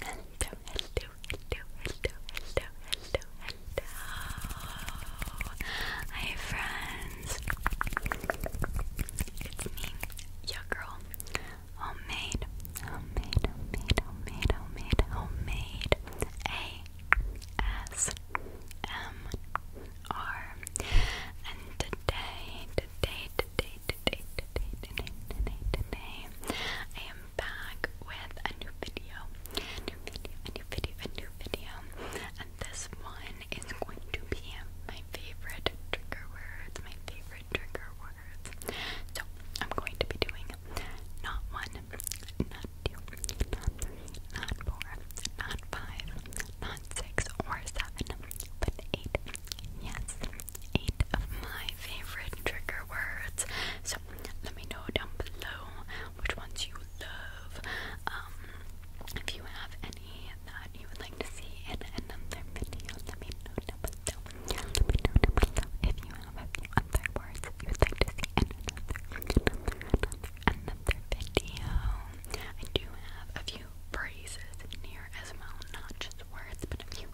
Hello, hello, hello, hello, hello, hello, hello. Hi, friends. It's me, your girl. Homemade, homemade, homemade, homemade, homemade, homemade. A S M R. And today, today, today, today, today, today, today, today, I back with a new video. new video, a new video, a new video. And this one is going to be my favorite trigger words, my favorite trigger words. So I'm going to be doing not one, not two, not three, not four, not five, not six or seven, but eight. Yes, eight of my favorite trigger words. So let me know down below which ones you love. Um, if you have any that you would like to see in another video, let me know down below. Let me know down below if you have a other words you would like to see in another, video. I do have a few phrases near as well, not just words, but a few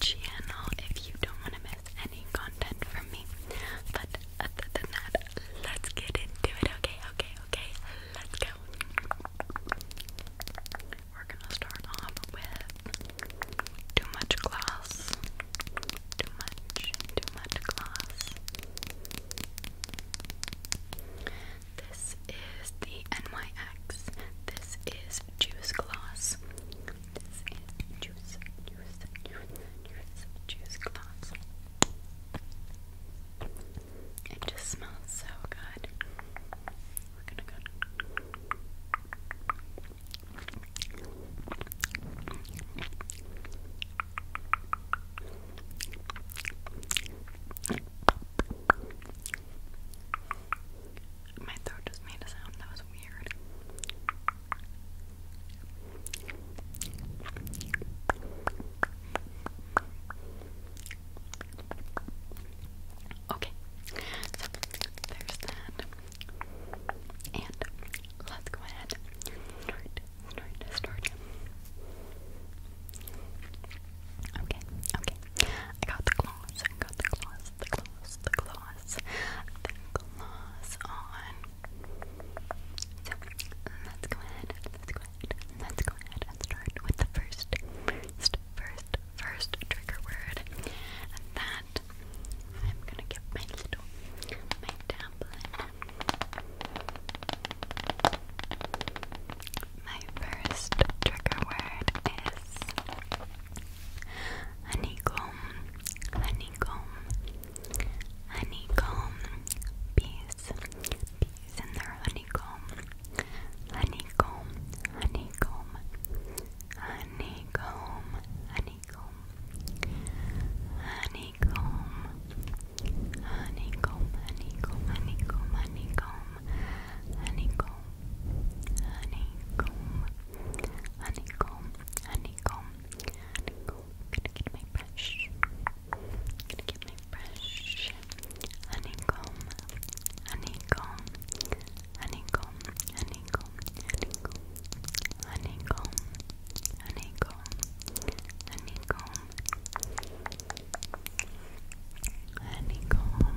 channel if you don't want to miss any content from me. But other than that, let's get into it, okay? Okay, okay, let's go. We're gonna start off with too much gloss. Too much, too much gloss. This is the NYX. This is is juice gloss. This is juice, juice, juice, juice, It just smells so good. My throat just made a sound that was weird. Okay, so there's that. And let's go ahead start, start, start. Okay, okay. I got the claws, I got the claws, the claws, the claws gloss, on. So let's go ahead, let's go ahead, let's go ahead and start with the first, first, first, first trigger word. And that I'm gonna get my little my tablet. My first trigger word is honeycomb, honeycomb, honeycomb, bees, bees in their honeycomb, honeycomb, honeycomb, honeycomb, honeycomb, honeycomb, honeycomb, honeycomb, honeycomb, honeycomb, honeycomb, honeycomb honeycomb, honeycomb, honeycomb. I'm gonna get my brush. I'm gonna get my brush. Honeycomb, honeycomb, honeycomb, honeycomb, honeycomb, honeycomb, honeycomb, honeycomb, honeycomb.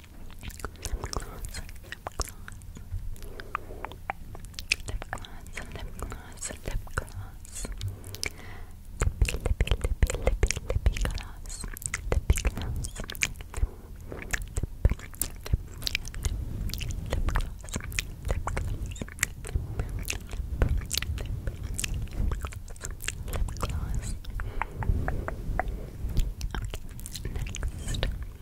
gloss, lip gloss, lip gloss, lip gloss, lippy, lippy, lippy, lippy, lippy gloss, lippy gloss, lip, lip, lip, lip gloss, lip gloss, lip, lip, lip Lip gloss. Okay, next.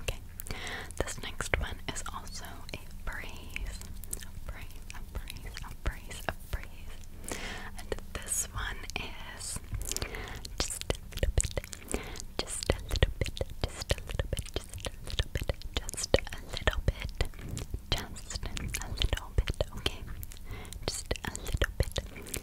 Okay. This next one is also a breeze. A phrase, a phrase, a phrase, a phrase. And this one is just a little bit, just a little bit, just a little bit, just a little bit, just a little bit, just a little bit, okay? Just a little bit,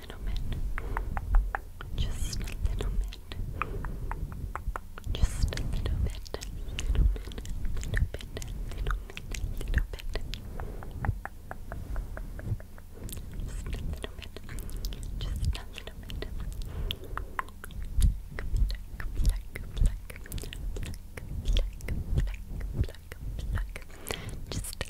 little bit. Just a little bit. Just a little bit. Little bit. Little bit. Little bit. Little bit. Just a little bit. Just a little bit. Just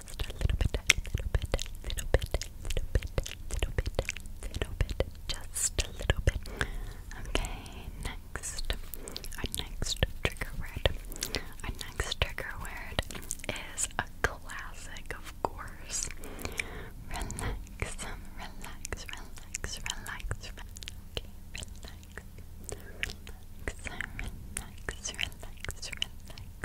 just a little bit, a little bit, a little bit, a little bit, a little bit, just a little bit. Okay, next, our next trigger word. Our next trigger word is a classic, of course. Relax, relax, relax, relax. Okay, relax, relax, relax, relax, relax.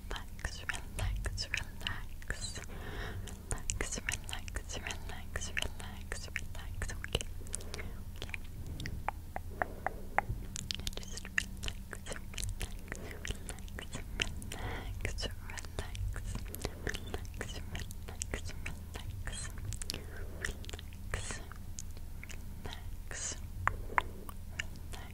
relax, relax, relax. Relax, relax, relax, relax, relax, okay. Okay. And just relax, relax, relax, relax, relax, relax, relax, relax. Relax, relax,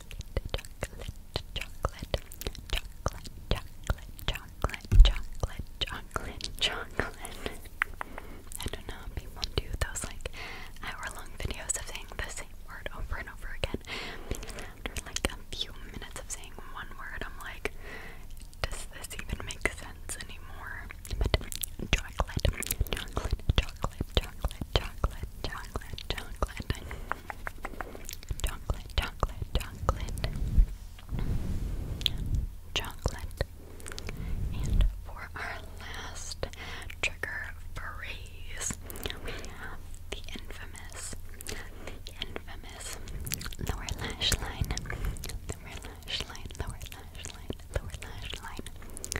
chocolate, chocolate, chocolate, chocolate, chocolate, chocolate, chocolate, chocolate. I don't know, people do those like hour-long videos of saying the same word over and over again. Because like a few minutes of saying one word, I'm like, does this even make sense anymore? But chocolate, chocolate, chocolate, chocolate, chocolate, chocolate, chocolate, chocolate, chocolate, chocolate, chocolate, chocolate. And for our last trigger phrase, we have the infamous, infamous lower lash line, lower lash line, lower lash line, lower lash line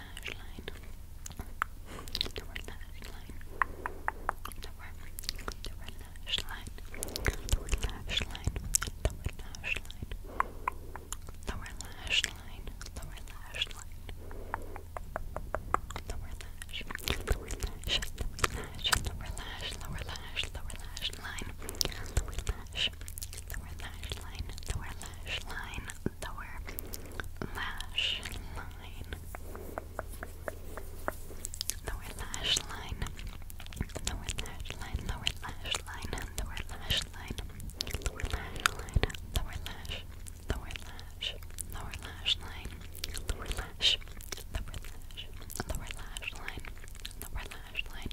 lash line. lash line. The lash line. The word lash line. The lash line. The lash line. The lash line. lash. The lash. The lash. line. The lash. The lash line. The lash line lower lash line. Lower lash line. Lower lash line. Lower lash line. Lower lash line. Lower lash line. Lower lash. Lower lash. Lower lash line. Lower lash. Lower lash. Lower lash line. Lower lash line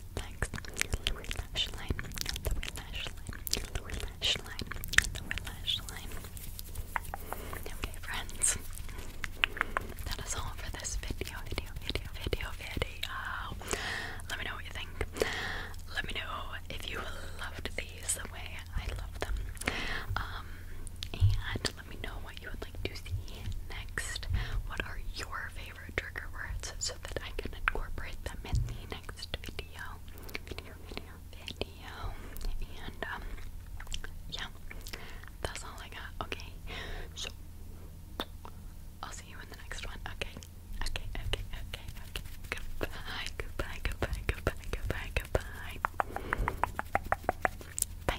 Okay, friends, that is all for this video, video, video, video, video. Let me know what you think. Let me know if you loved these the way I love them. Um, and let me know what you would like to see next. What are your favorite? favorite trigger words so that I can incorporate them in the next video. Video, video, And, um, yeah, that's all I got. Okay, so I'll see you in the next one. Okay, okay, okay, okay, okay. Goodbye, goodbye, goodbye, goodbye, goodbye, goodbye. Bye.